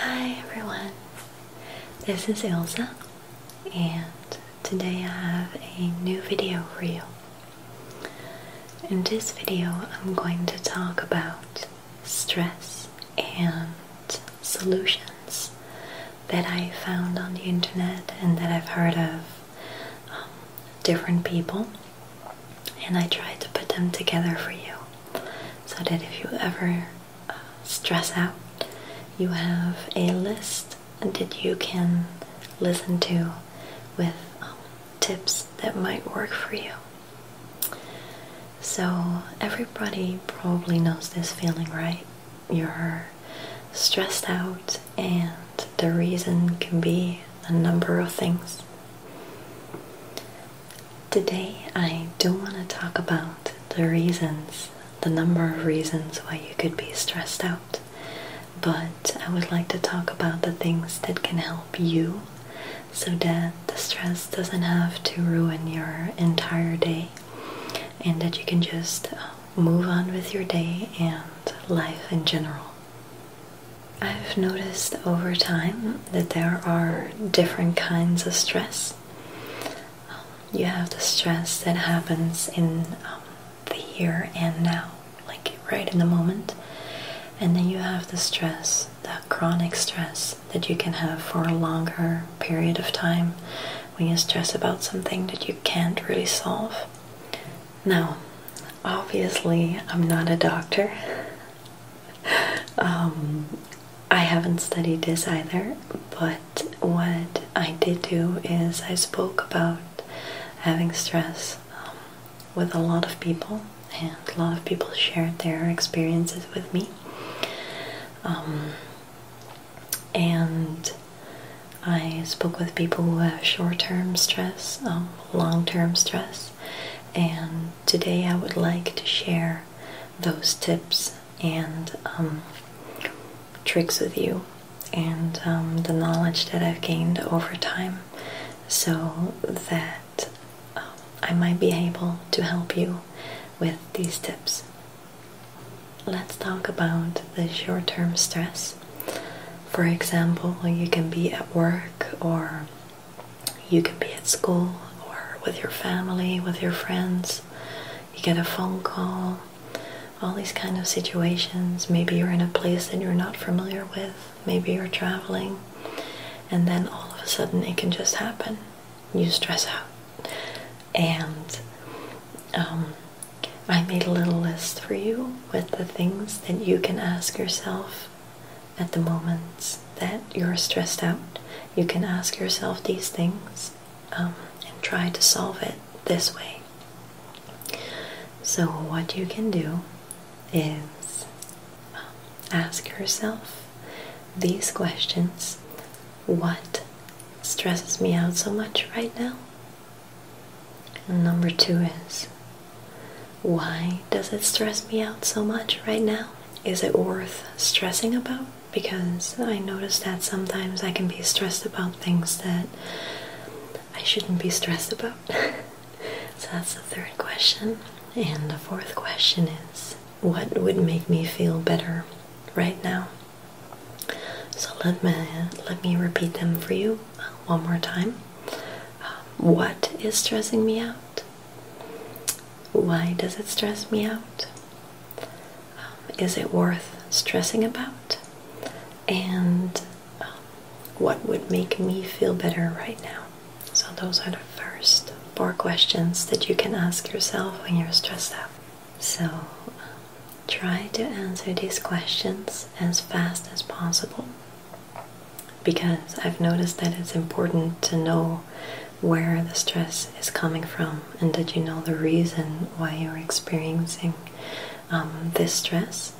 Hi everyone, this is Elsa, and today I have a new video for you. In this video, I'm going to talk about stress and solutions that I found on the internet and that I've heard of um, different people, and I try to put them together for you so that if you ever uh, stress out, you have a list that you can listen to with um, tips that might work for you. So, everybody probably knows this feeling, right? you're stressed out, and the reason can be a number of things. Today, I do want to talk about the reasons, the number of reasons why you could be stressed out. But I would like to talk about the things that can help you so that the stress doesn't have to ruin your entire day and that you can just um, move on with your day and life in general. I've noticed over time that there are different kinds of stress. you have the stress that happens in um, the here and now, like right in the moment. And then you have the stress, that chronic stress that you can have for a longer period of time when you stress about something that you can't really solve. Now, obviously, I'm not a doctor. Um, I haven't studied this either, but what I did do is I spoke about having stress um, with a lot of people, and a lot of people shared their experiences with me. Um, and I spoke with people who have short-term stress, um, long-term stress, and today I would like to share those tips and um, tricks with you and um, the knowledge that I've gained over time so that I might be able to help you with these tips. Let's talk about the short term stress. For example, you can be at work, or you can be at school, or with your family, with your friends. You get a phone call, all these kind of situations. Maybe you're in a place that you're not familiar with, maybe you're traveling, and then all of a sudden it can just happen. You stress out. And um, I made a little list for you with the things that you can ask yourself at the moments that you're stressed out. You can ask yourself these things um, and try to solve it this way. So, what you can do is um, ask yourself these questions What stresses me out so much right now? number two is why does it stress me out so much right now? Is it worth stressing about? Because I notice that sometimes I can be stressed about things that I shouldn't be stressed about. so that's the third question. And the fourth question is what would make me feel better right now? So let me let me repeat them for you uh, one more time. Um, what is stressing me out? Why does it stress me out? Um, is it worth stressing about? And um, what would make me feel better right now? So those are the first four questions that you can ask yourself when you're stressed out. So try to answer these questions as fast as possible because I've noticed that it's important to know where the stress is coming from and that you know the reason why you're experiencing um, this stress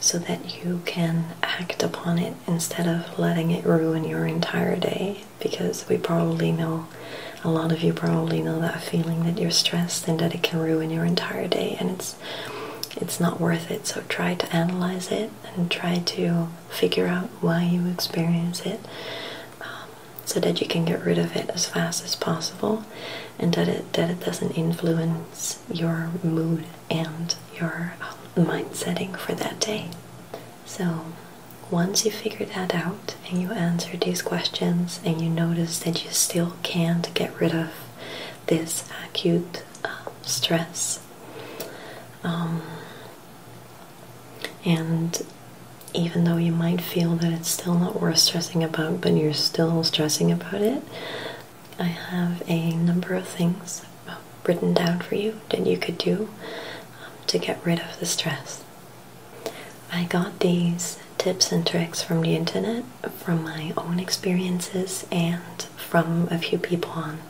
so that you can act upon it instead of letting it ruin your entire day because we probably know a lot of you probably know that feeling that you're stressed and that it can ruin your entire day and it's it's not worth it so try to analyze it and try to figure out why you experience it um, so that you can get rid of it as fast as possible and that it that it doesn't influence your mood and your um, mind setting for that day so once you figure that out and you answered these questions and you notice that you still can't get rid of this acute um, stress. Um, and even though you might feel that it's still not worth stressing about, but you're still stressing about it, I have a number of things uh, written down for you that you could do um, to get rid of the stress. I got these tips and tricks from the internet, from my own experiences, and from a few people on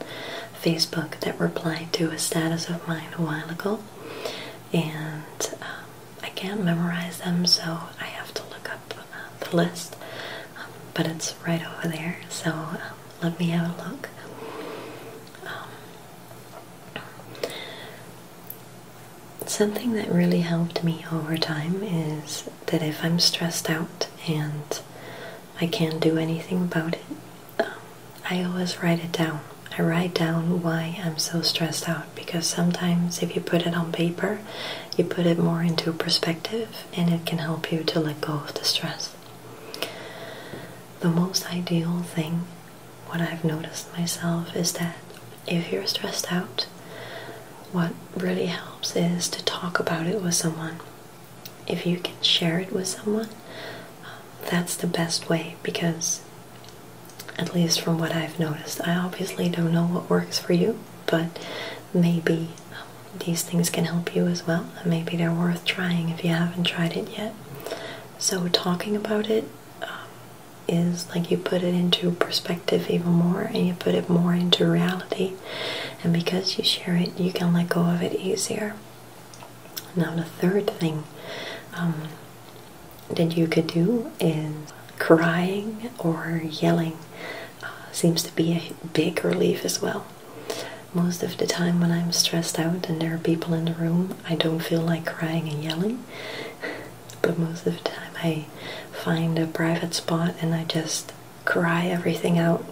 Facebook that replied to a status of mine a while ago. And um, I can't memorize them, so I have to look up uh, the list. Um, but it's right over there, so um, let me have a look. Something that really helped me over time is that if I'm stressed out and I can't do anything about it, um, I always write it down. I write down why I'm so stressed out because sometimes if you put it on paper, you put it more into perspective and it can help you to let go of the stress. The most ideal thing, what I've noticed myself, is that if you're stressed out, what really helps is to talk about it with someone. If you can share it with someone, um, that's the best way because, at least from what I've noticed, I obviously don't know what works for you, but maybe um, these things can help you as well, and maybe they're worth trying if you haven't tried it yet. So, talking about it um, is like you put it into perspective even more and you put it more into reality. And because you share it, you can let go of it easier. Now, the third thing um, that you could do is crying or yelling uh, seems to be a big relief as well. Most of the time, when I'm stressed out and there are people in the room, I don't feel like crying and yelling but most of the time I find a private spot and I just cry everything out.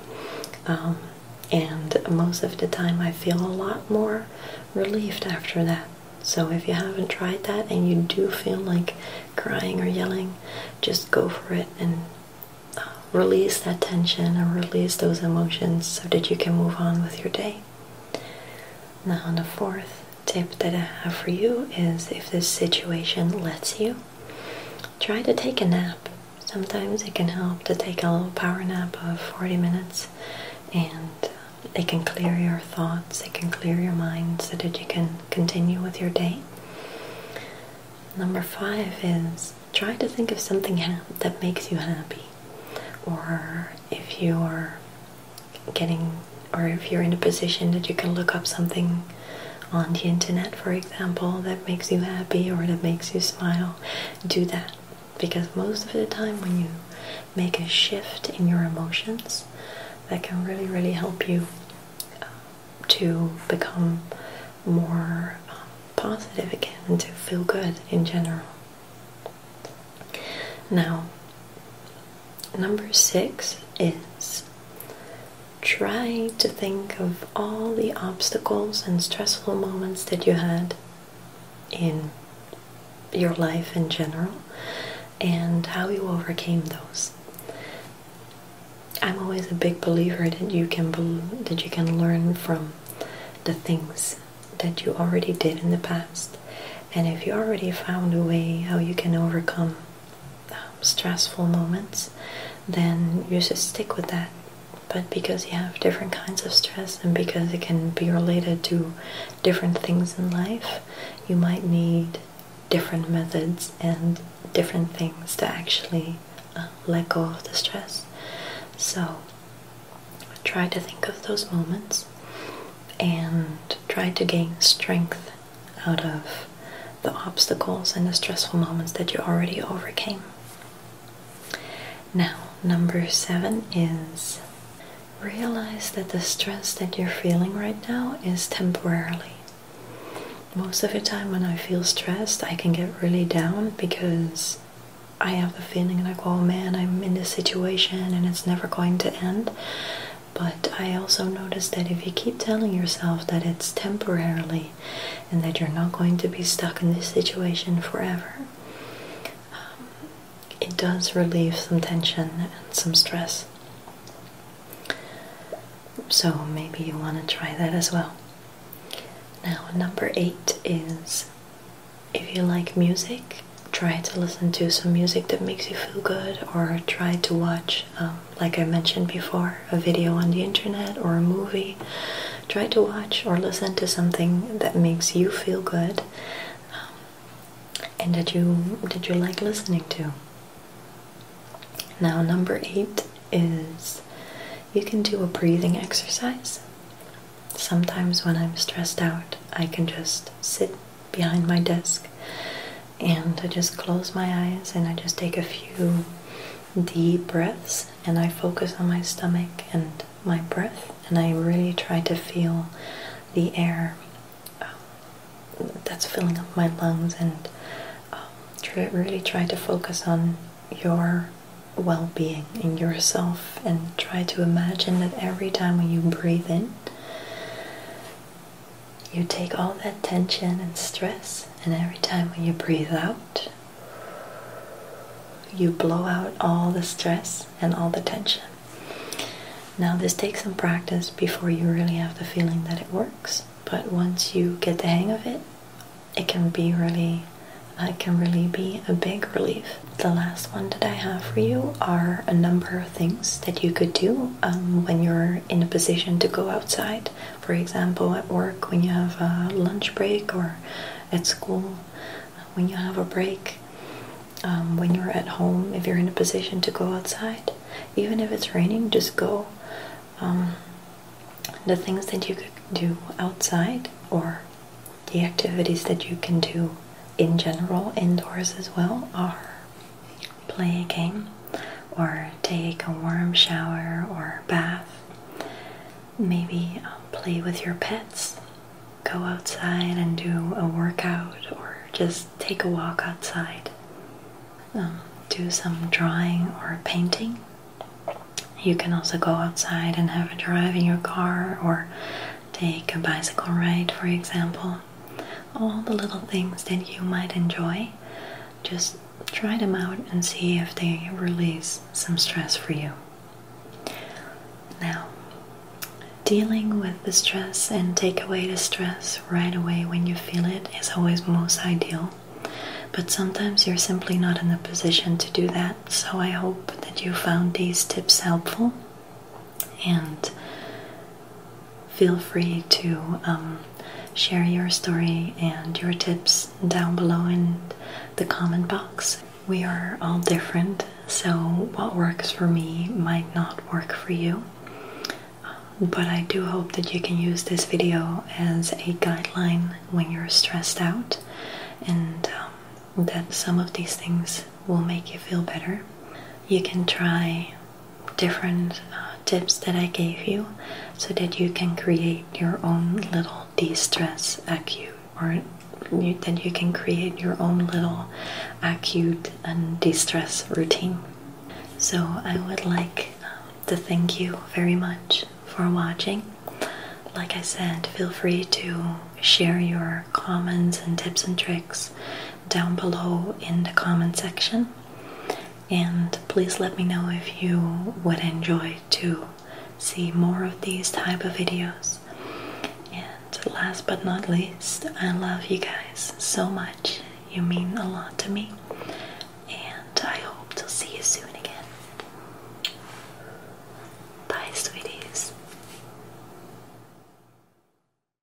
Um, and most of the time I feel a lot more relieved after that. So if you haven't tried that and you do feel like crying or yelling, just go for it and uh, release that tension and release those emotions so that you can move on with your day. Now, on the fourth, tip that I have for you is if this situation lets you, try to take a nap. Sometimes it can help to take a little power nap of 40 minutes and it can clear your thoughts, it can clear your mind so that you can continue with your day. Number five is try to think of something that makes you happy. Or if you're getting, or if you're in a position that you can look up something on the internet, for example, that makes you happy or that makes you smile, do that. Because most of the time, when you make a shift in your emotions, that can really, really help you uh, to become more um, positive again and to feel good in general. Now, number six is try to think of all the obstacles and stressful moments that you had in your life in general and how you overcame those. I'm always a big believer that you can that you can learn from the things that you already did in the past and if you already found a way how you can overcome um, stressful moments, then you should stick with that. But because you have different kinds of stress and because it can be related to different things in life, you might need different methods and different things to actually uh, let go of the stress. So try to think of those moments and try to gain strength out of the obstacles and the stressful moments that you already overcame. Now, number seven is realize that the stress that you're feeling right now is temporarily. Most of the time, when I feel stressed, I can get really down because I have the feeling like, oh man, I'm in this situation and it's never going to end. But I also notice that if you keep telling yourself that it's temporarily and that you're not going to be stuck in this situation forever, um, it does relieve some tension and some stress. So maybe you want to try that as well. Now, number eight is if you like music, try to listen to some music that makes you feel good or try to watch um, like i mentioned before a video on the internet or a movie try to watch or listen to something that makes you feel good um, and that you that you like listening to now number eight is you can do a breathing exercise sometimes when i'm stressed out i can just sit behind my desk and I just close my eyes and I just take a few deep breaths and I focus on my stomach and my breath and I really try to feel the air um, that's filling up my lungs and um, really try to focus on your well-being in yourself and try to imagine that every time you breathe in you take all that tension and stress, and every time when you breathe out, you blow out all the stress and all the tension. Now, this takes some practice before you really have the feeling that it works, but once you get the hang of it, it can be really it can really be a big relief. The last one that I have for you are a number things that you could do um, when you're in a position to go outside. For example, at work, when you have a lunch break, or at school, when you have a break, um, when you're at home, if you're in a position to go outside. Even if it's raining, just go. Um, the things that you could do outside, or the activities that you can do in general indoors as well, are play a game or take a warm shower or bath. Maybe um, play with your pets. Go outside and do a workout or just take a walk outside. Um, do some drawing or painting. You can also go outside and have a drive in your car or take a bicycle ride, for example all the little things that you might enjoy. Just try them out and see if they release some stress for you. Now, dealing with the stress and take away the stress right away when you feel it is always most ideal. But sometimes you're simply not in a position to do that, so I hope that you found these tips helpful and feel free to um, share your story and your tips down below in the comment box. We are all different, so what works for me might not work for you. Um, but I do hope that you can use this video as a guideline when you're stressed out and um, that some of these things will make you feel better. You can try different uh, tips that I gave you so that you can create your own little de stress acute or you, that you can create your own little acute and de stress routine. So, I would like uh, to thank you very much for watching. Like I said, feel free to share your comments and tips and tricks down below in the comment section. And please let me know if you would enjoy to see more of these type of videos. And last but not least, I love you guys so much. You mean a lot to me. And I hope to see you soon again. Bye, sweeties.